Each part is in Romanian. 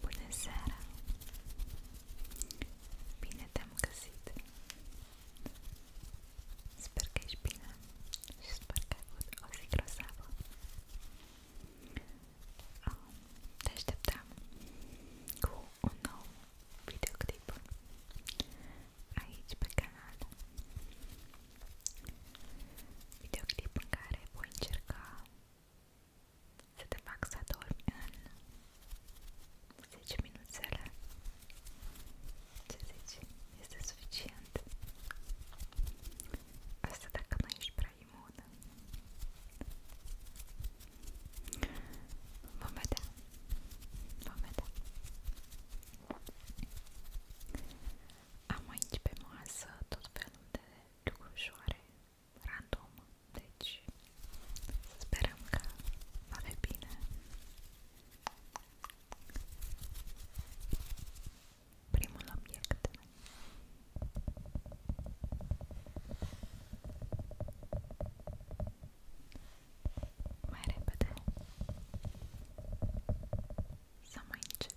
Bună seara! Bine te-am găsit! Sper că ești bine și sper că ai avut o zi grozavă. Te așteptam cu un nou videoclip aici pe canal. Videoclip în care voi încerca să te fac să dormi în 10 minuțele Ce zici? Este suficient Asta dacă nu ești prea imună Vom vedea Vom vedea Am aici pe masă tot felul de lucrușoare, random, deci sperăm că va fi bine. Primul obiect. Mai repede. Să mai încet.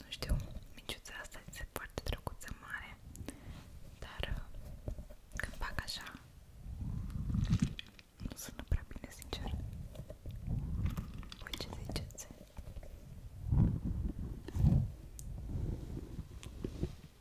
Nu știu, miciuța asta este foarte drăguță mare, dar uh, când fac așa, nu sună prea bine, sincer. Voi ce ziceți?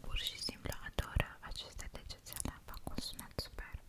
Pur și simplu adoră aceste degețele, fac un sunet superb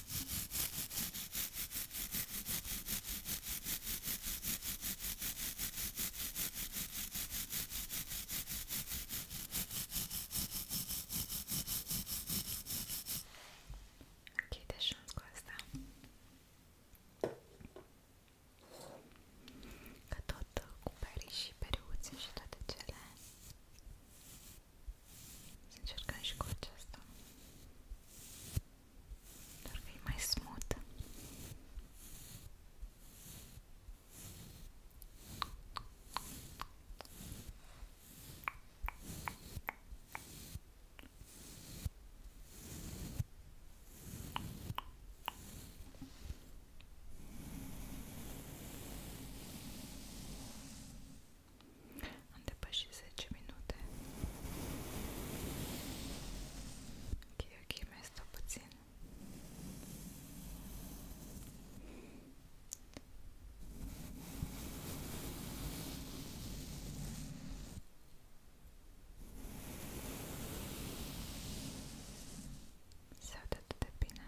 Închide și cu asta Că tot cu perii și periuțe și toate cele să încercăm și cu aceasta. Doar că e mai smooth. Așa. Am depășit 10 minute. Ok, ok, mai stau puțin. Se aude atât de bine.